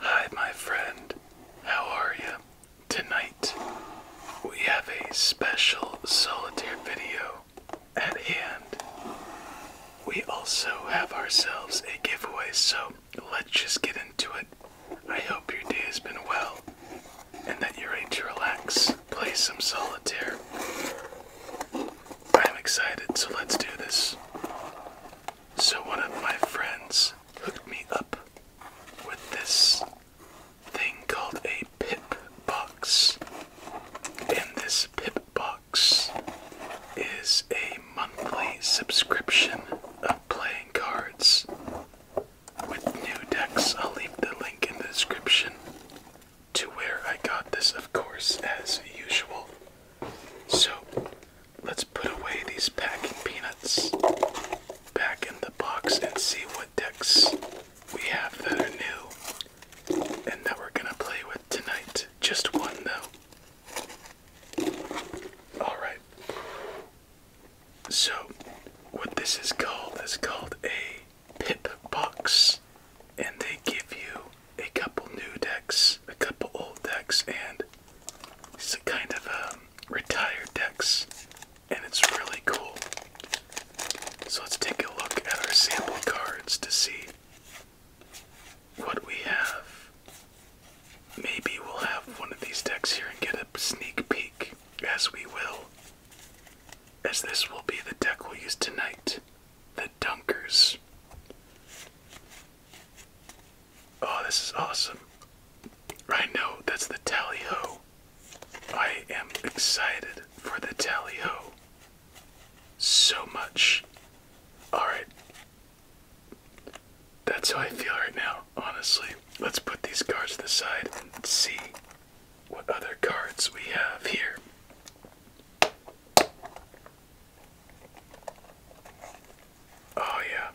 Hi, my friend. How are you? Tonight, we have a special solitaire video at hand. We also have ourselves a giveaway, so let's just get into it. I hope your day has been well and that you're ready to relax, play some solitaire. I'm excited, so let's do this. So, one of my friends hooked me up with this thing called a pip box. And this pip box is a monthly subscription of playing cards with new decks. I'll leave the link in the description to where I got this, of course, as usual. So let's put away these packing peanuts back in the box and see what decks we have that are new and that we're gonna play with tonight. Just one though. Alright. So, what this is called is called a pip box, and they give you a couple new decks, a couple old decks, and it's a kind of um, retired decks, and it's really cool. So let's take a look at our sample cards to see what we have. Maybe we'll have one of these decks here and get a sneak peek, as we will, as this will be the deck we'll use tonight dunkers. Oh, this is awesome. I know, that's the tally ho. I am excited for the tally ho. So much. Alright. That's how I feel right now, honestly. Let's put these cards to the side and see what other cards we have here. Oh, yeah.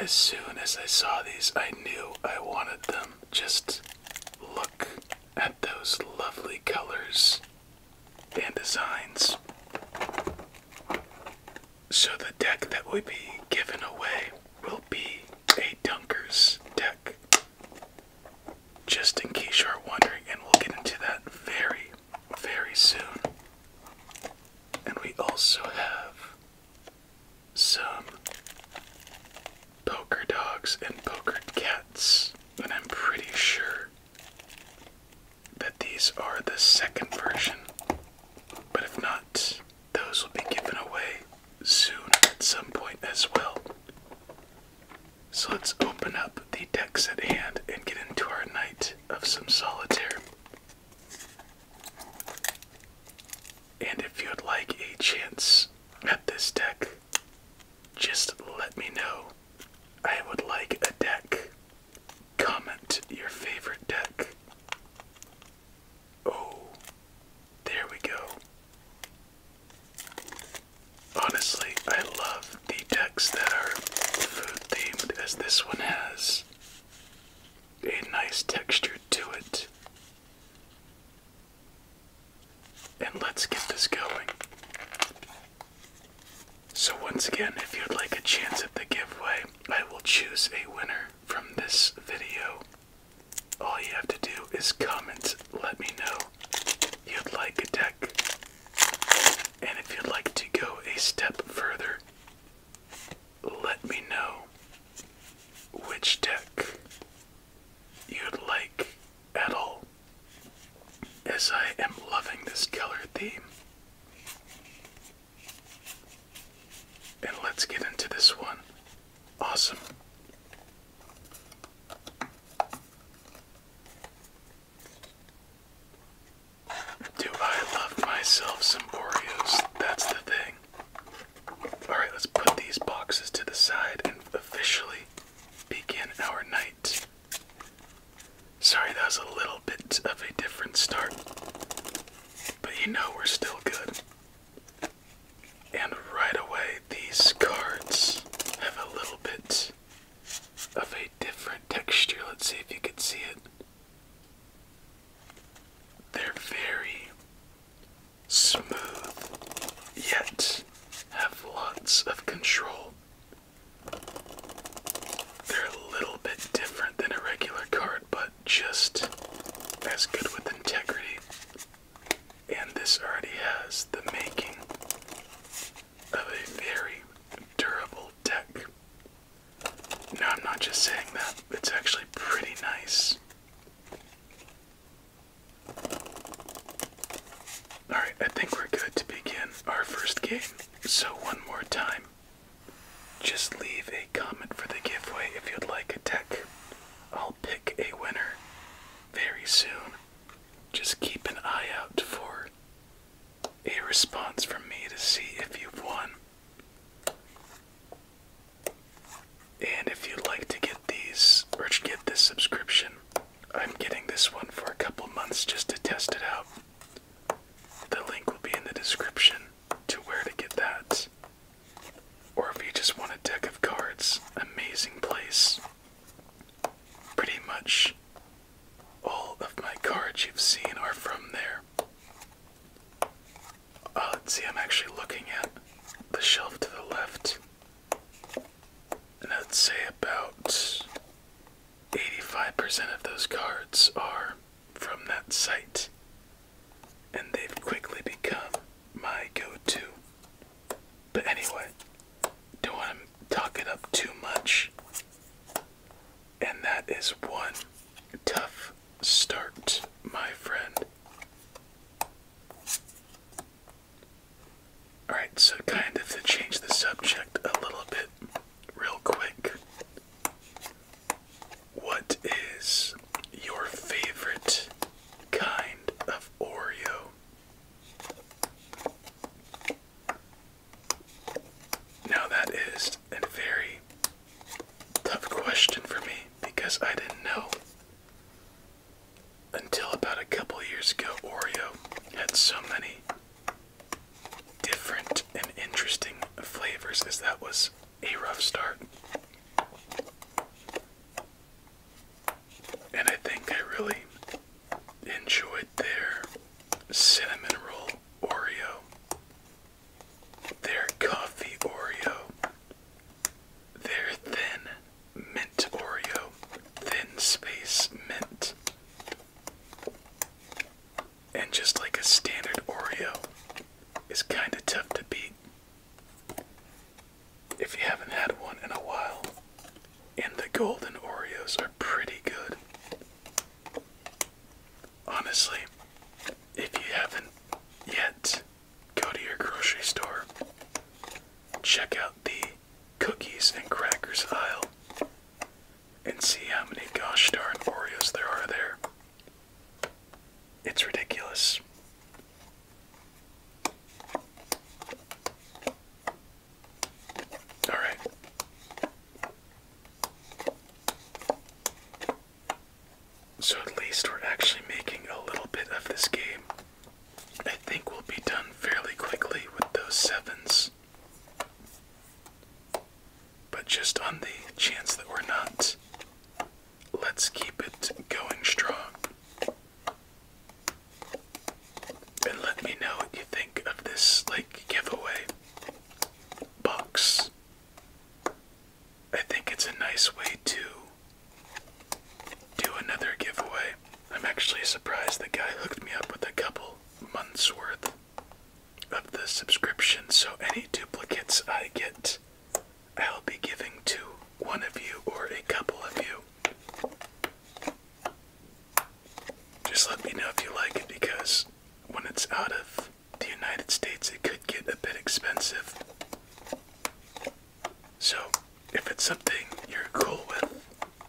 As soon as I saw these, I knew I wanted them. Just look at those lovely colors and designs. So, the deck that will be given away will be a Dunker's deck. Just in case you're wondering, and we'll get into that very, very soon. And we also have some poker dogs and poker cats. And I'm pretty sure that these are the second version. But if not, those will be given away soon at some point as well. So let's open up the decks at hand and get into our night of some solitaire. And if you would like a chance at this deck, just let me know. I would like a deck. Comment your favorite deck. Oh, there we go. Honestly, I love the decks that are food themed, as this one has a nice texture to it. And let's get this going. So, once again, if you'd like a chance at the giveaway, I will choose a winner from this video. All you have to do is comment, let me know you'd like a deck. And if you'd like to go a step further, let me know which deck you'd like at all, as I am loving this color theme. And let's get into this one. Awesome. Do I love myself some That's the thing. Alright, let's put these boxes to the side and officially begin our night. Sorry, that was a little bit of a different start. But you know we're still good. And right away, these cards have a little bit of a different texture. Let's see if you can see it. They're very smooth, yet have lots of control. They're a little bit different than a regular card, but just as good with integrity. And this already has the making of a very durable deck. No, I'm not just saying that, it's actually pretty nice. Alright, I think we're good to begin our first game. So, one more time, just leave a comment for the giveaway if you'd like a deck. I'll pick a winner very soon. Just keep an eye out for a response from me to see if you've won. And if you'd like to get these or get this subscription, I'm getting this one for a couple months just to test it out. The link will be in the description to where to get that. Or if you just want a deck of cards, amazing place. Pretty much all of my cards you've seen are from there. Uh, let's see, I'm actually looking at the shelf to the left. And I'd say about 85% of those cards are from that site. And they've quickly become my go to but anyway, don't want to talk it up too much. And that is one tough start, my friend. Alright, so kind of to change the subject a little bit, real quick. What is your favorite kind of Oreo? Now, that is a very tough question for me because I didn't know until about a couple years ago Oreo had so many different and interesting flavors, as that was a rough start. And I think I really enjoyed their cinnamon roll Oreo, their coffee Oreo, their thin mint Oreo, thin space mint, and just like a standard Oreo is kind of tough to beat if you haven't had one in a while. And the golden Oreos are pretty good. Honestly, if you haven't yet, go to your grocery store. Check out the cookies and crackers aisle and see how many gosh darn Oreos there are there. It's ridiculous. All right. So at least we're actually making a little bit of this game. I think we'll be done fairly quickly with those sevens. But just on the chance that we're not, let's keep it going strong. And let me know what you think of this like giveaway box. I think it's a nice way to do another giveaway. I'm actually surprised the guy hooked me up with a couple months worth of the subscription, so any duplicates I get, I'll be giving to one of you or a couple of you. Just let me know if you like it because when it's out of the United States, it could get a bit expensive. So, if it's something you're cool with,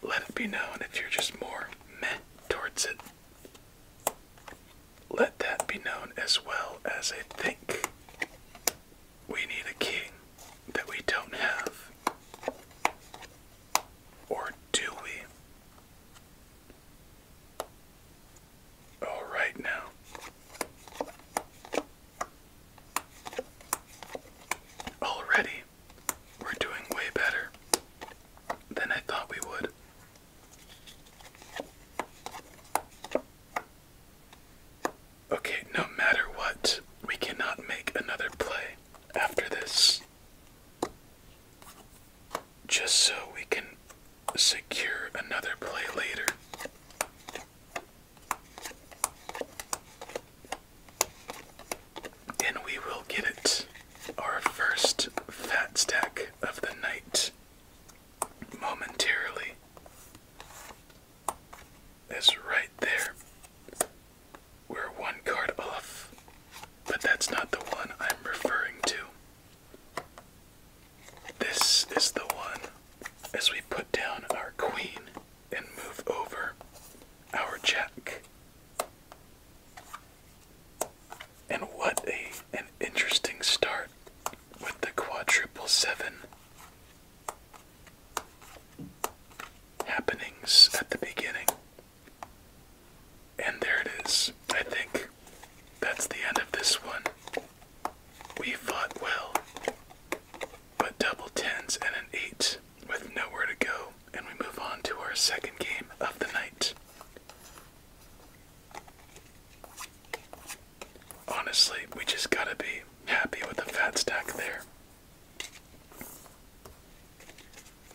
let it be known. If you're just more meh towards it, let that be known as well as I think we need a king that we don't have. Or do we? All right now. Already, we're doing way better than I thought we would. Okay, no matter what, we cannot make another play after this. Just so we can secure another play later. And we will get it. Our first fat stack of the night momentarily is right there. We're one card off, but that's not the one I'm referring to. This is the one as we put down our queen and move over our jack. And what a an interesting start with the quadruple seven happenings at the beginning. And there it is. I think that's the end of this one. We fought well, but double tens and an eight with nowhere to go, and we move on to our second game of the night. Honestly, we just gotta be happy with the fat stack there.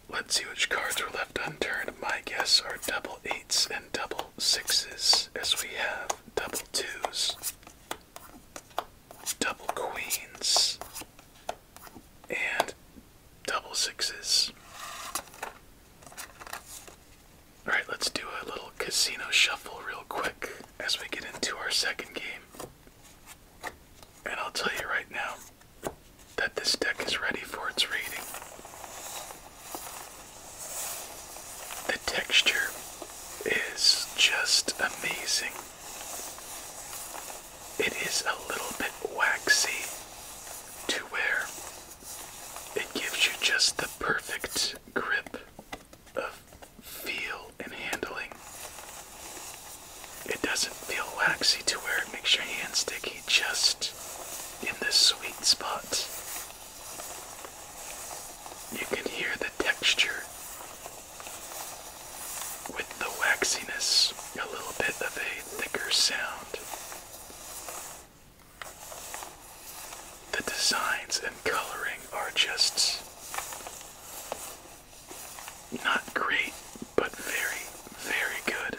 Let's see which cards were left unturned. My guess are double eights and double sixes, as we have double twos, double queens, and double sixes. Alright, let's do a little casino shuffle real quick as we get into our second game. And I'll tell you right now that this deck is ready for its reading. The texture is just amazing. It is a little bit waxy to where it gives you just the perfect grip of feel and handling. It doesn't feel waxy to where it makes your hand sticky, just in the sweet spot. You can hear the texture with the waxiness, a little bit of a thicker sound. The designs and coloring are just not great, but very, very good.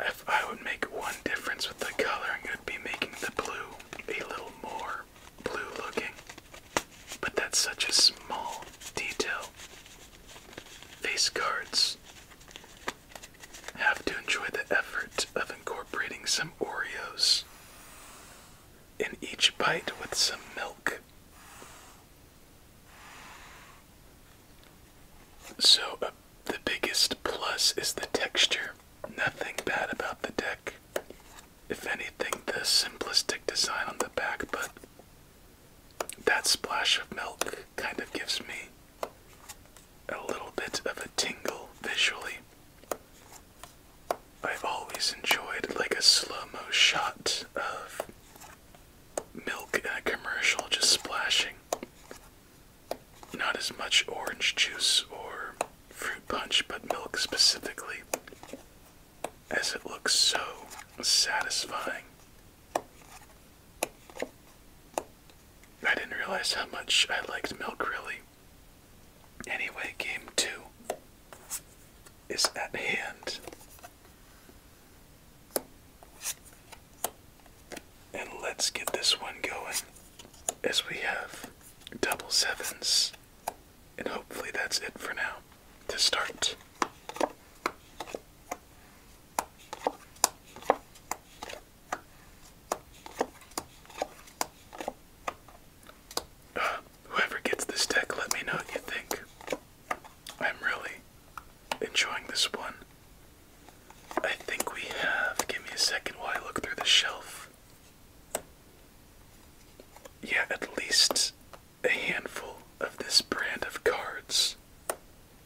If I would make one difference with the coloring, it would be making the blue a little more blue looking. But that's such a small detail. Face cards have to enjoy the effort of incorporating some Oreos in each bite with some milk. So, uh, the biggest plus is the texture. Nothing bad about the deck. If anything, the simplistic design on the back, but that splash of milk kind of gives me a little bit of a tingle visually. I've always enjoyed like a slow-mo shot of milk in a commercial just splashing. Not as much orange juice or fruit punch, but milk specifically, as it looks so satisfying. I didn't realize how much I liked milk really Anyway, game two is at hand. And let's get this one going as we have double sevens. And hopefully that's it for now to start. Whoever gets this deck, let me know what you think. I'm really enjoying this one. I think we have. Give me a second while I look through the shelf. Yeah, at least a handful of this brand of cards.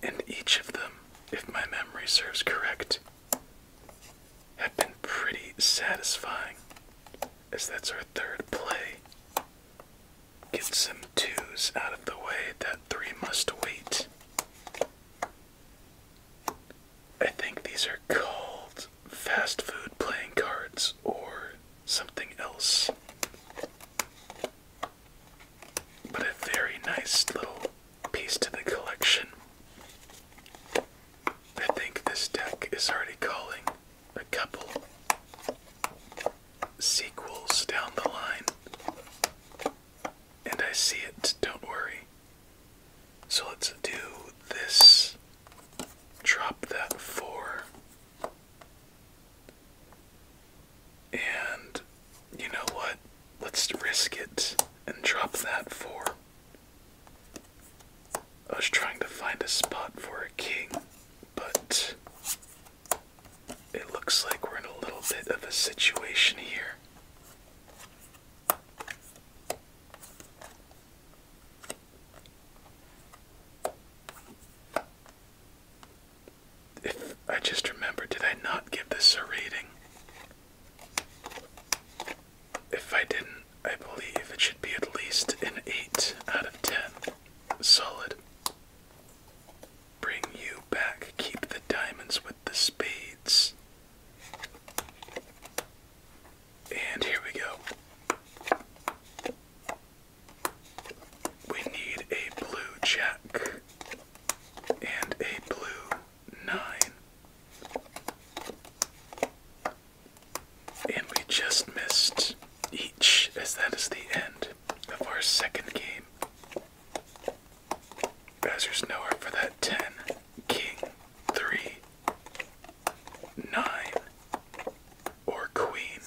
And each of them, if my memory serves correct, have been pretty satisfying, as that's our third play. Get some twos out of the way, that three must wait. I think these are called fast food playing cards or something else. But a very nice little piece to the collection. I think this deck is already calling a couple sequels down the line. And I see it, don't worry. So let's do this. Drop that four. And you know what? Let's risk it and drop that four. I was trying to find a spot for a king, but it looks like we're in a little bit of a situation here. If I just remember, did I not give this a rating? If I didn't, I believe it should be at least an 8 out of 10. Solid. Bring you back. Keep the diamonds with the spades. And here we go. We need a blue jack and a blue nine. And we just missed each, as that is the end of our second game. As nowhere for that 10, king, 3, 9, or queen.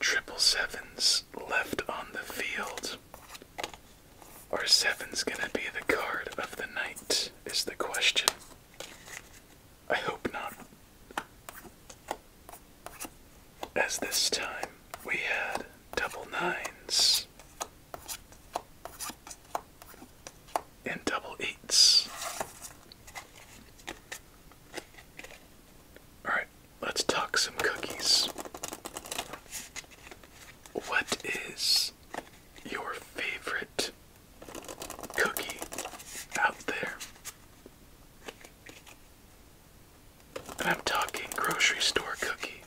Triple sevens left on the field. Are sevens gonna be the card of the night? Is the question. I hope not. As this time we had double nines and double eights. Alright, let's talk some cookies. What is your favorite cookie out there. I'm talking grocery store cookie.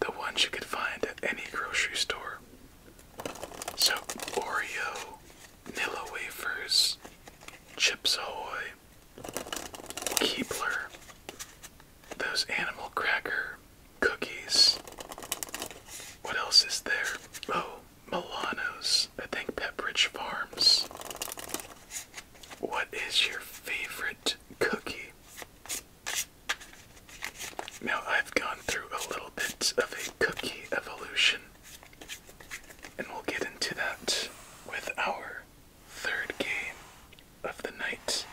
The ones you could find at any grocery store. So Oreo, Nilla Wafers, Chips Ahoy, Keebler, those animal cracker cookies. What else is there? Oh, Milano's. I think Pepperidge Farms. What is your favorite cookie? Now, I've gone through a little bit of a cookie evolution, and we'll get into that with our third game of the night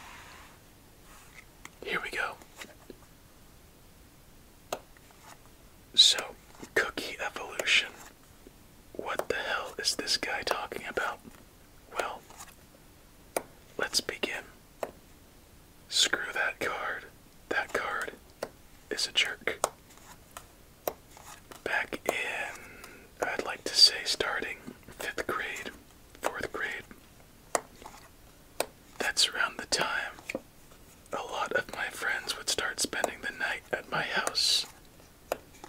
here we go. So, cookie evolution. What the hell is this guy talking about? Well, let's begin. Screw that card. That card is a jerk. Back in, I'd like to say starting fifth grade, fourth grade, that's around the time a lot of my friends would start spending the night at my house.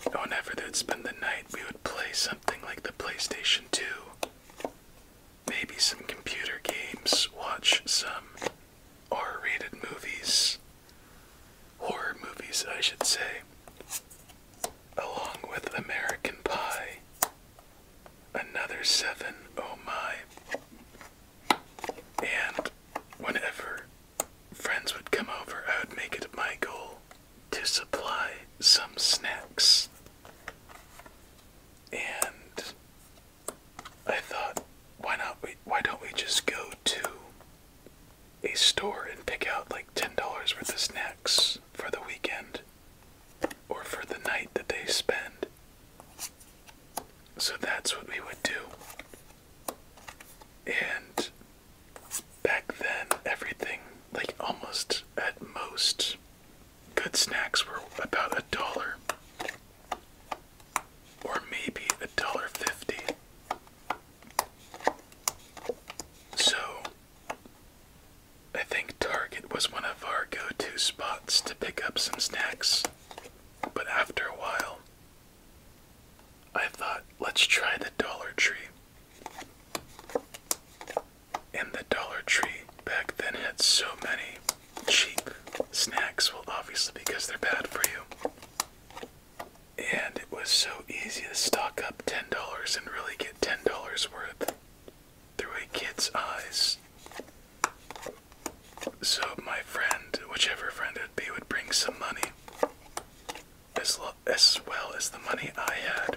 Whenever they'd spend the night, we would play something like the PlayStation 2, maybe some computer games, watch some R rated movies, horror movies, I should say, along with American Pie another seven. Oh my. And whenever friends would come over, I would make it my goal to supply some snacks. And I thought, why not we why don't we just go to a store and pick out like ten dollars worth of snacks for the weekend or for the night that they spend so that's what we would do. And back then, everything, like almost at most, good snacks were about a dollar or maybe a dollar fifty. So I think Target was one of our go to spots to pick up some snacks, but after a while, I thought, let's try the Dollar Tree. And the Dollar Tree back then had so many cheap snacks, well, obviously, because they're bad for you. And it was so easy to stock up $10 and really get $10 worth through a kid's eyes. So my friend, whichever friend it would be, would bring some money, as, well as the money I had.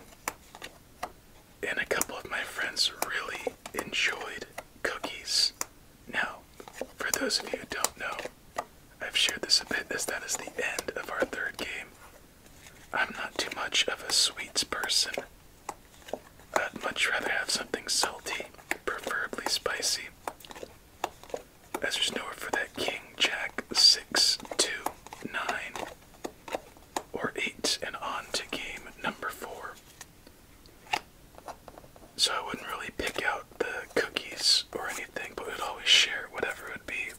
And a couple of my friends really enjoyed cookies. Now, for those of you who don't know, I've shared this a bit as that is the end of our third game. I'm not too much of a sweets person, I'd much rather have something salty, preferably spicy, as there's nowhere for that King Jack 6, 2, 9, or 8, and on to game number 4. So I wouldn't really pick out the cookies or anything, but would always share whatever would be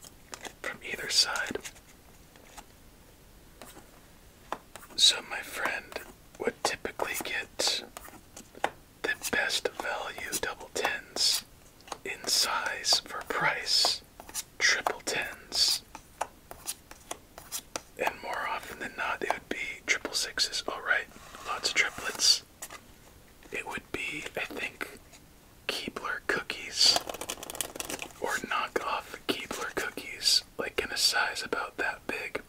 from either side. So my friend would typically get the best value double tens in size for price, triple tens. And more often than not, they would be triple sixes. Alright, lots of triplets. It would be, I think, Keebler cookies or knockoff Keebler cookies like in a size about that big.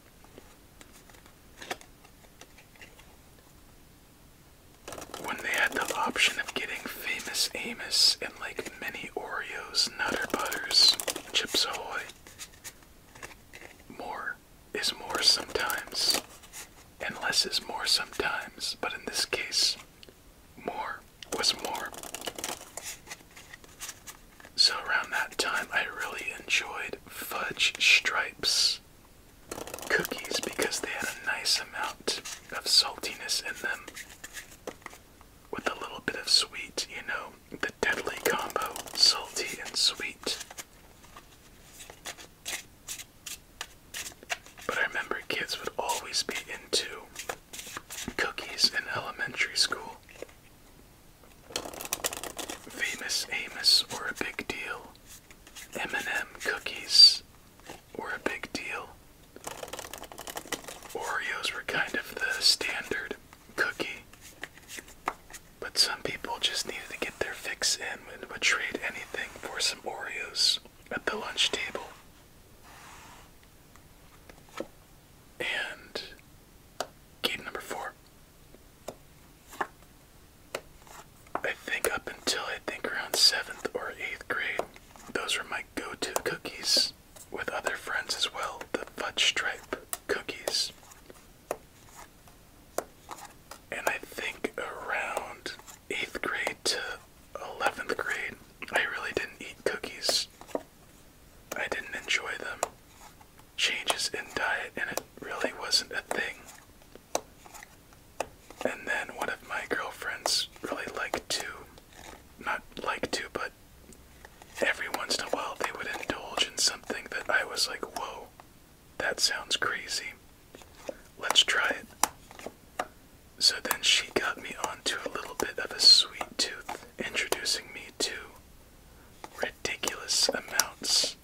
When they had the option of getting Famous Amos and like mini Oreos, Nutter Butters, Chips Ahoy, more is more sometimes, and less is more sometimes, but in this case, more was more. So around that time, I really enjoyed fudge stripes cookies because they had a nice amount of saltiness in them with a little bit of sweet, you know, the deadly combo salty and sweet. But I remember kids would always be into Cookies in Elementary School. Famous Amos were a big deal. M&M cookies were a big deal. Oreos were kind of the standard cookie. But some people just needed to get their fix in and would trade anything for some Oreos at the lunch table. And game number four. I think up until I think around seventh or eighth grade, those were my go to cookies with other friends as well the fudge stripe cookies. And I think around eighth grade to 11th grade, I really didn't eat cookies I didn't enjoy them. Changes in diet, and it really wasn't a thing. And then one of my girlfriends really liked to, not like to, but every once in a while they would indulge in something that I was like, whoa, that sounds crazy. Let's try it. So then she got me onto a little bit of a sweet tooth introducing me to ridiculous amounts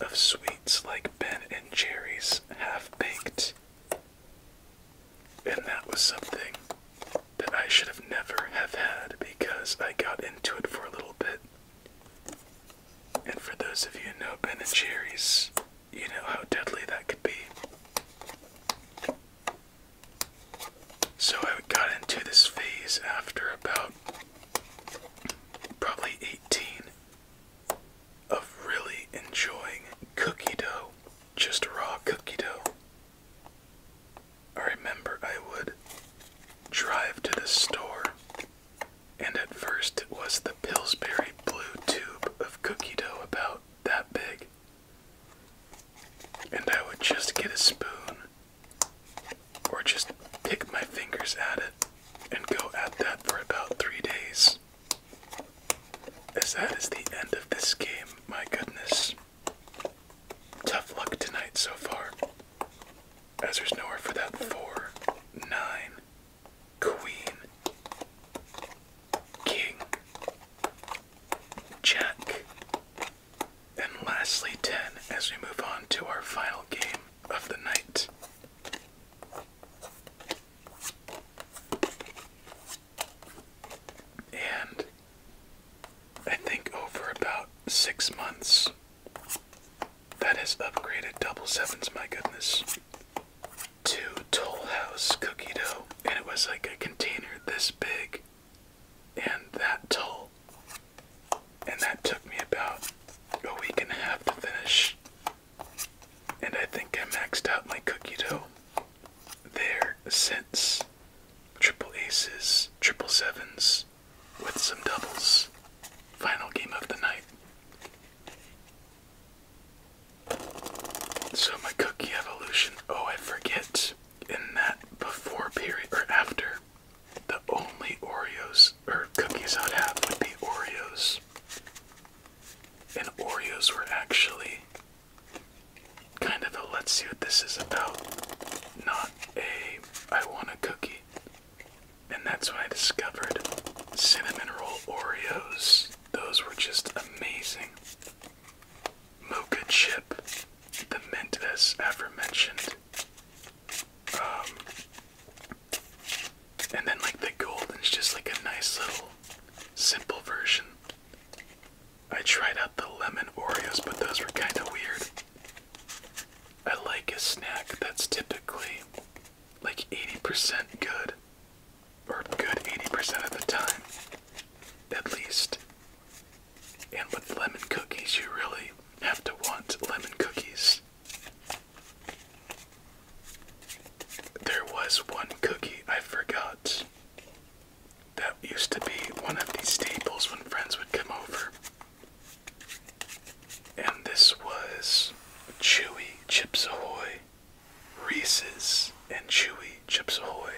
of sweets like Ben and Jerry's half baked. And that was something that I should have never have had because I got into it for a little bit. And for those of you who know Ben and Jerry's, you know how deadly that could be. So I got into this phase after about probably 18 of really enjoying cookie dough, just raw cookie dough. I remember I would drive to the store, and at first it was the Pillsbury blue tube of cookie dough about that big. And I would just get a spoon or just pick my fingers at it and go at that for about three days. As that is the end of this game, my goodness. Tough luck tonight so far. As there's nowhere for that four, nine, queen, king, Jack. And lastly, 10 as we move on to our final game of the night. And I think over about six months, that has upgraded double sevens, my goodness, to Toll House cookie dough. And it was like a container this big and that toll and that took me about a week and a half to finish and i think i maxed out my cookie dough there since triple aces triple sevens with some doubles final game of the night so my cookie evolution oh i forget in that before period or after, the only Oreos or cookies I'd have would be Oreos. And Oreos were actually kind of a let's see what this is about, not a I want a cookie. And that's when I discovered cinnamon roll Oreos. Those were just amazing. Mocha chip, the mint as aforementioned. Um, and then like the golden is just like a nice little simple version. I tried out the lemon Oreos, but those were kind of weird. I like a snack that's typically like 80% good, or good 80% of the time, at least. And with lemon cookies, you really have to want lemon cookies. There was one cookie I forgot that used to be one of the staples when friends would come over. And this was Chewy Chips Ahoy, Reese's, and Chewy Chips Ahoy.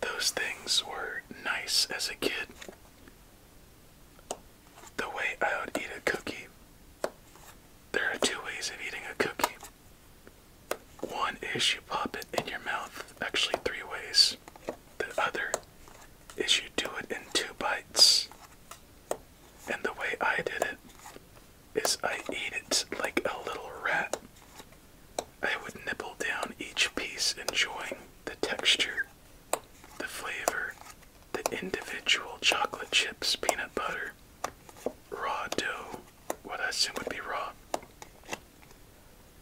Those things were nice as a kid. The way I would eat a cookie. There are two ways of eating a cookie. One is you pop it in your mouth, actually, three ways. The other is you do it in two bites. And the way I did it is I eat it like a little rat. I would nibble down each piece, enjoying the texture, the flavor, the individual chocolate chips, peanut butter, raw dough, what I assume would be raw,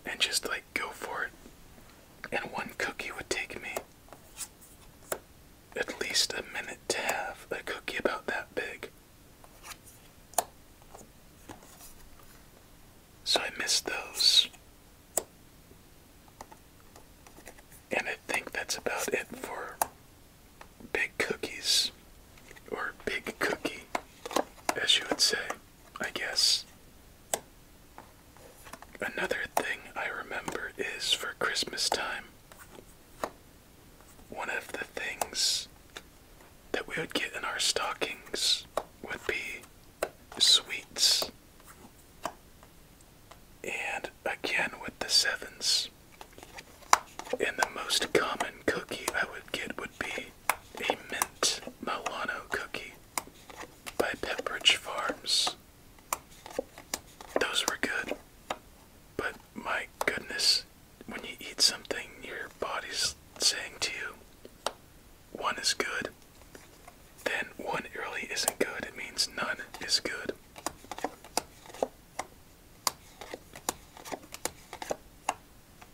and just like go for it. And one cookie would take me at least a minute to have a cookie about that big. So I missed those. And I think that's about it for big cookies, or big cookie, as you would say, I guess. Another thing I remember is for Christmas time, one of the things that we would get in our stockings would be sweets. And again with the sevens. And the most common cookie I would get would be a mint Milano cookie by Pepperidge Farms. Those were good, but my goodness, when you eat something, your body's saying to you, one is good, then one really isn't good. It means none is good.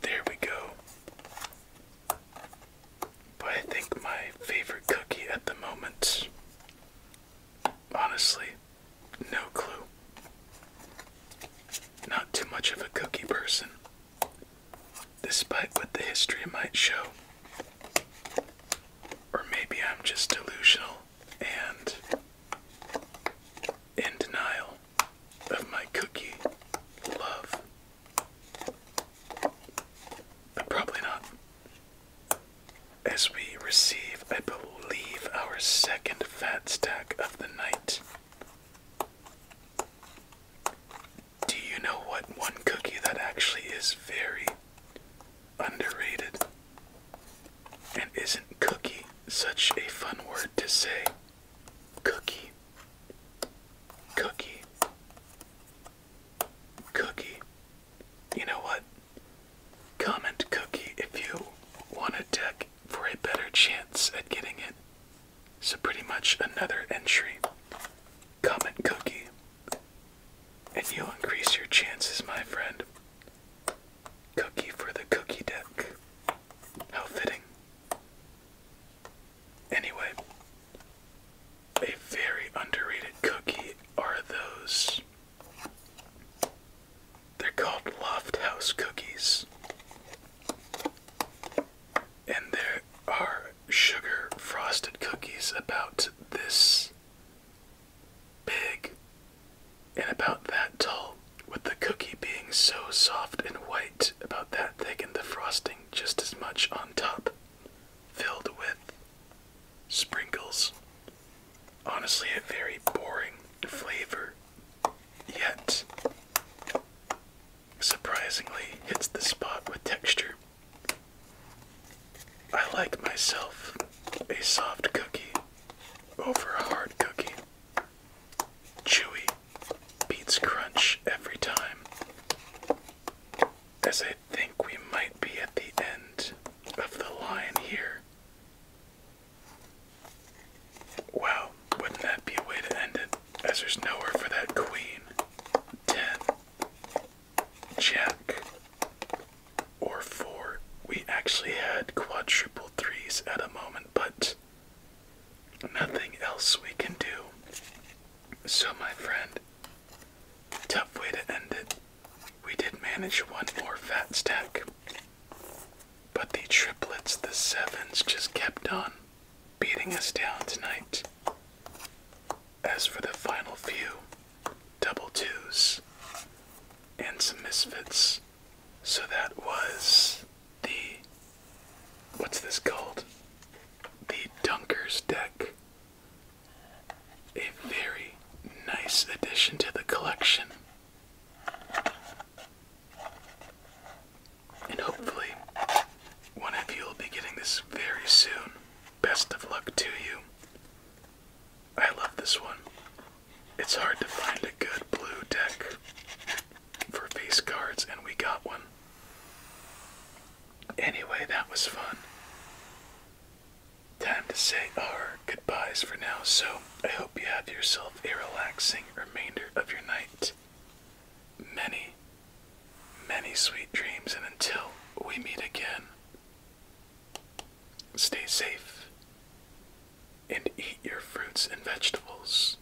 There we go. But I think my favorite cookie at the moment, honestly, no clue. Not too much of a cookie person, despite what the history might show. Or maybe I'm just delusional and in denial of my cookie love. But probably not. As we receive, I believe, our second fat stack of the night. Do you know what one cookie that actually is very underrated? And isn't cookie such a fun word to say? Cookie. Cookie. Cookie. You know what? Comment cookie if you want to deck for a better chance at getting it. So, pretty much another entry. Comment cookie. And you'll increase your chances, my friend. Cookie for the cookie deck. How fitting. Anyway, a very underrated cookie are those they're called Loft House cookies. And there are sugar frosted cookies about this big and about that tall, with the cookie being so soft and white, about that thick, and the frosting just as much on top, filled with sprinkles. Honestly, a very boring flavor yet surprisingly hits the spot with texture. I like myself a soft cookie over a hard cookie. Chewy beats crunch every time. As I think we might be at the end of the line here, Wow, wouldn't that be a way to end it? As there's nowhere for that queen. Ten. Jack. Or four. We actually had quadruple threes at a moment, but nothing else we can do. So, my friend, tough way to end it. We did manage one more fat stack. But the triplets, the sevens, just kept on beating us down tonight. As for the final few, double twos and some misfits. So that was the. What's this called? The Dunker's Deck. A very nice addition to the collection. And hopefully, one of you will be getting this very soon. Best of luck to you. I love this one. It's hard to find a good blue deck for face cards, and we got one. Anyway, that was fun. Time to say our goodbyes for now, so I hope you have yourself a relaxing remainder of your night. Many, many sweet dreams, and until we meet again, stay safe and eat your fruits and vegetables.